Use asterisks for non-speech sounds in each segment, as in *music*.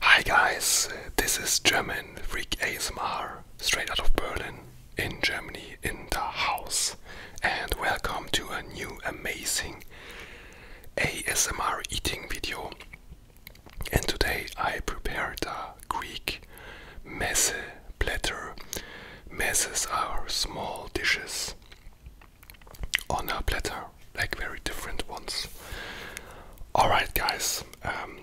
Hi guys, this is German Freak ASMR, straight out of Berlin, in Germany, in the house, and welcome to a new amazing ASMR eating video. And today I prepared the Greek meze platter. Messes are small dishes on a platter like very different ones. Alright, guys. Um,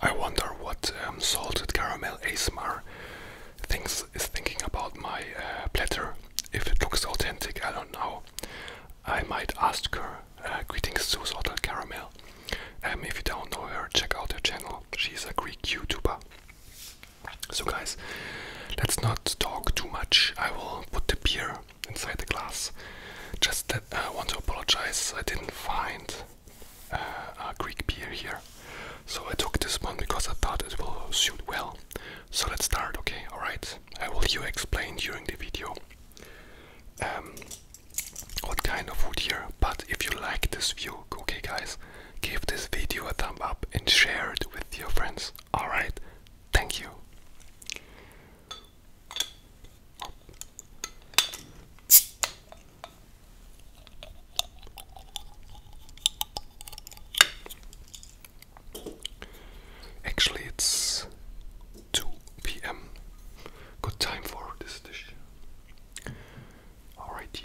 I wonder what um, salted caramel ASMR thinks is thinking about my uh, platter. If it looks authentic, I don't know. I might ask her. Uh, greetings to salted caramel. Um, if you don't know her, check out her channel. She's a Greek YouTuber. So, guys, let's not talk too much. I will put the beer inside the glass. Just that uh, I want to apologize, I didn't find uh, a Greek beer here. So I took this one because I thought it will suit well. So let's start, okay? Alright, I will you explain during the video um, what kind of wood here. But if you like this view, okay guys, give this video a thumb up and share it with your friends. Alright, thank you. Actually, it's 2 p.m. Good time for this dish. Alrighty.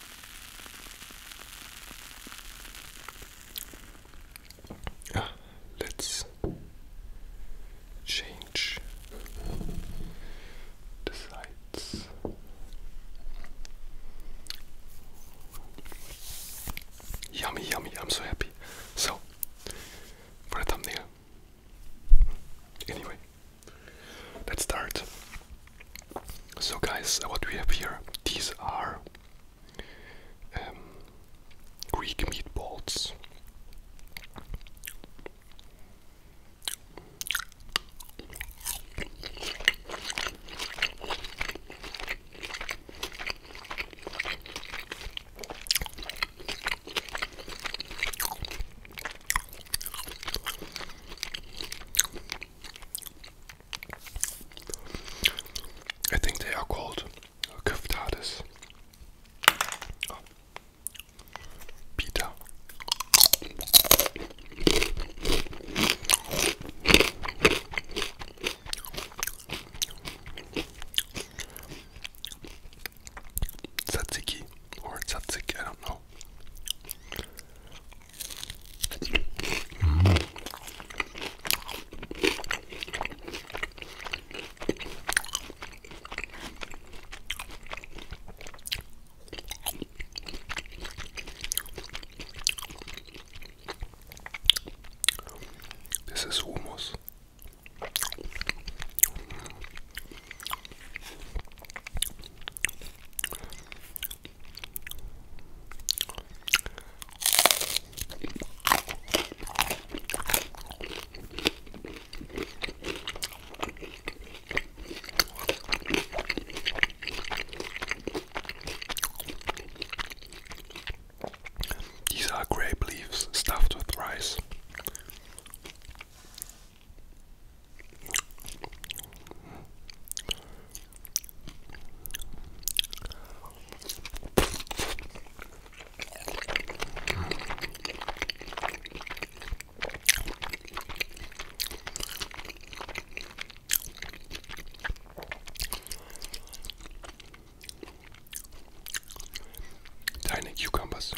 Ah, let's change the sides. Yummy, yummy, I'm so happy. So, for a thumbnail. Anyway, let's start. So, guys, what we have here these are um, Greek meatballs. I think they are called kyftades. Oh. Pita. Tzatziki or tzatziki, I don't know. This is humus. These are grape leaves stuffed with rice. Tiny cucumbers.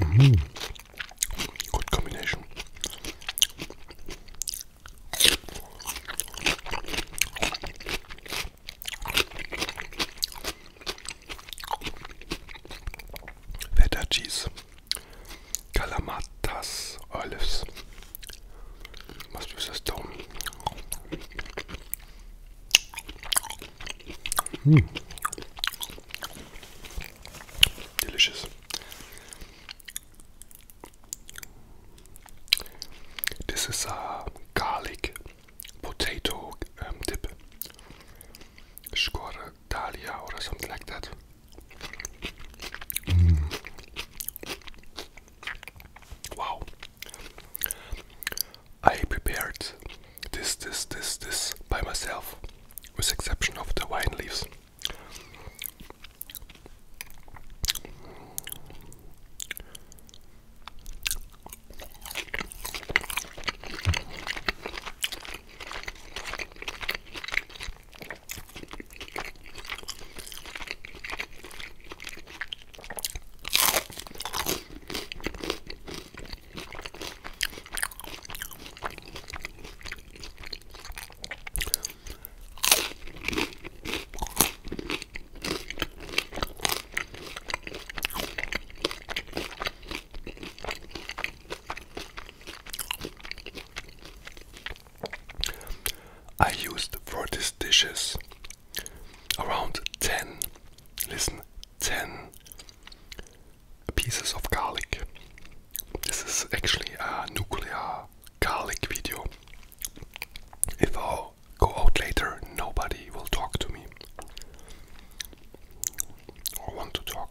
Mm. Good combination. Feta Cheese, Calamatas, Olives. Must use a stone. Mm. Delicious. This is a garlic potato um, ähm, dip. Score Dalia or something like that. Mm. Wow. I prepared this, this, this, this by myself, with exception of the wine leaves. I used for these dishes around 10, listen, 10 pieces of garlic. This is actually a nuclear garlic video. If I go out later, nobody will talk to me or want to talk.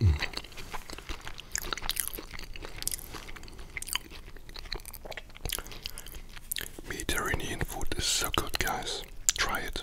Mm. Mediterranean food is so good, guys. Try it.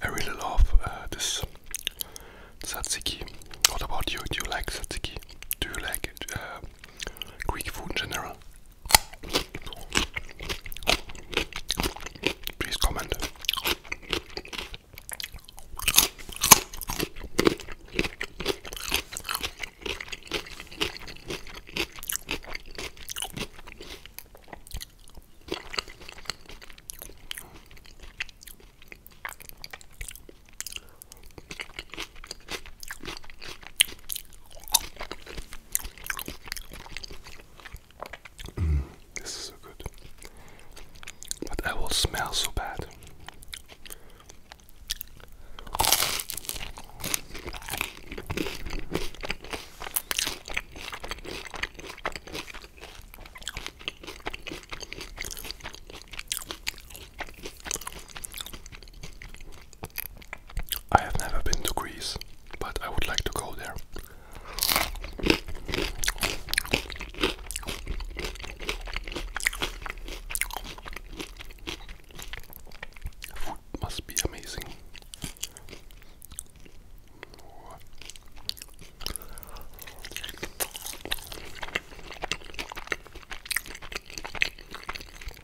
I really love uh, this tzatziki. What about you? Do you like tzatziki? Do you like it? Uh, Greek food general. Please comment this is so good. But I will smell so bad. I have never been to Greece, but I would like to go there. Food must be amazing.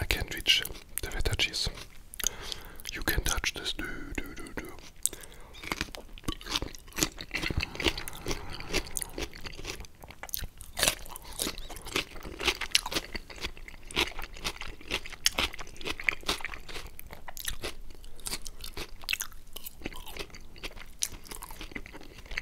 I can't reach the feta cheese. You can touch this. Do, do, do, do.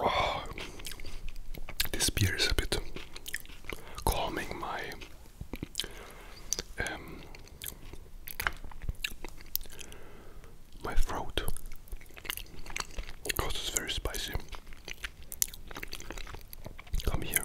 Oh, *sighs* this beer is a bit calming my um, my throat. Because it's very spicy. Come here.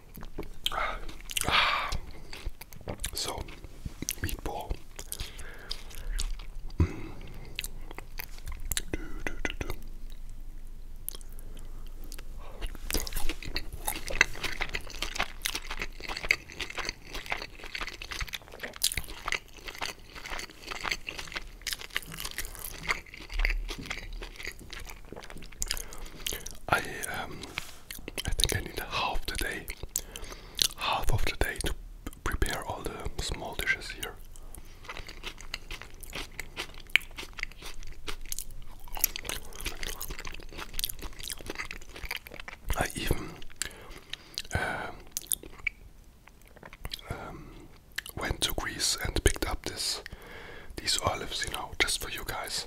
*sighs* So, meatball. I um, I think I need half the day, half of the day to prepare all the small dishes here. I even um, um, went to Greece and picked up this these olives, you know, just for you guys.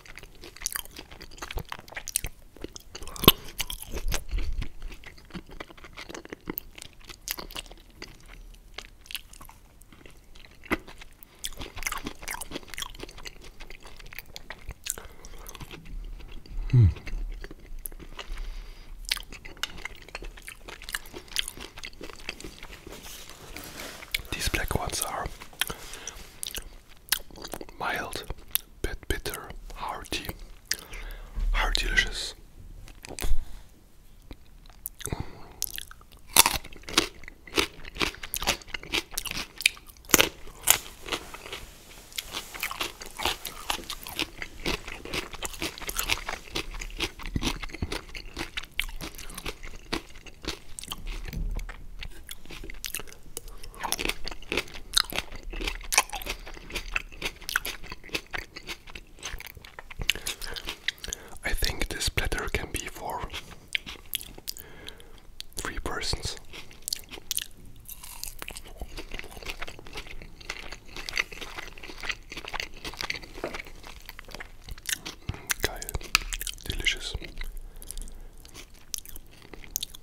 Hmm. These black ones are mild, bit bitter, hearty, heart delicious. I think this platter can be for three persons. delicious.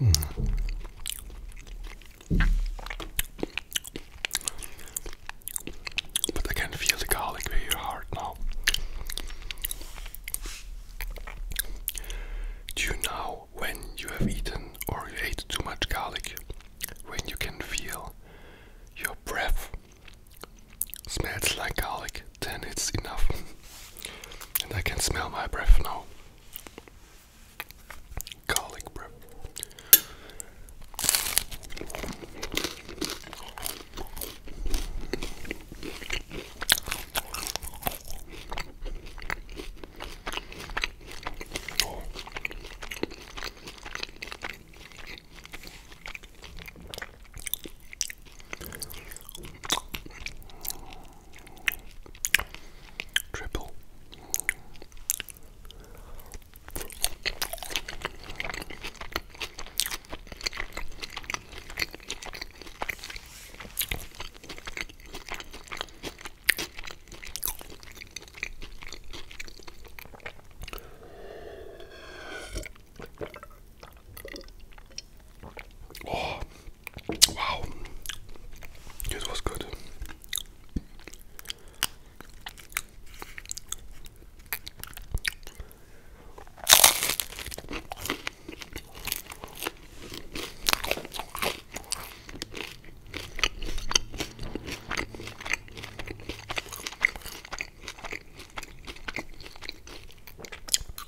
Mm. But I can feel the garlic very hard now. Do you know when you have eaten or ate too much garlic? When you can feel your breath smells like garlic, then it's enough. *laughs* and I can smell my breath now. Garlic breath. Triple. Oh, wow. It was good.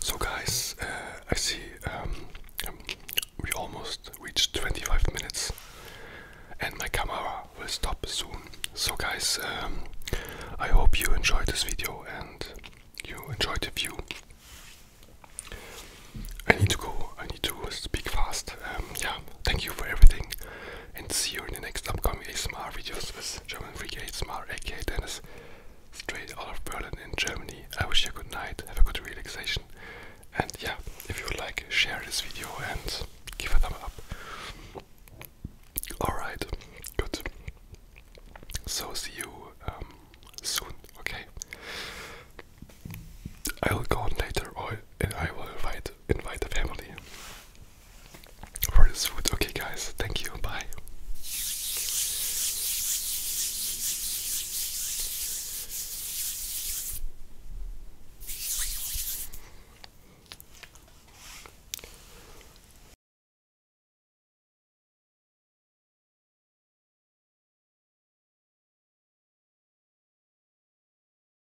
So, guys, uh, I see um, um, we almost reached 25 minutes, and my camera will stop soon. So, guys, um, I hope you enjoyed this video and you enjoyed the view. I need to go. I need to speak fast. yeah, thank you for everything and see you in the next upcoming ASMR videos with German Freak ASMR aka Dennis straight out of Berlin in Germany. I wish you a good night, have a good relaxation and yeah, if you like, share this video and give a thumb up. Alright, good. So see you um, soon, okay? I will go on later or and I will invite invite the family for this food. Okay, guys, thank you. Bye.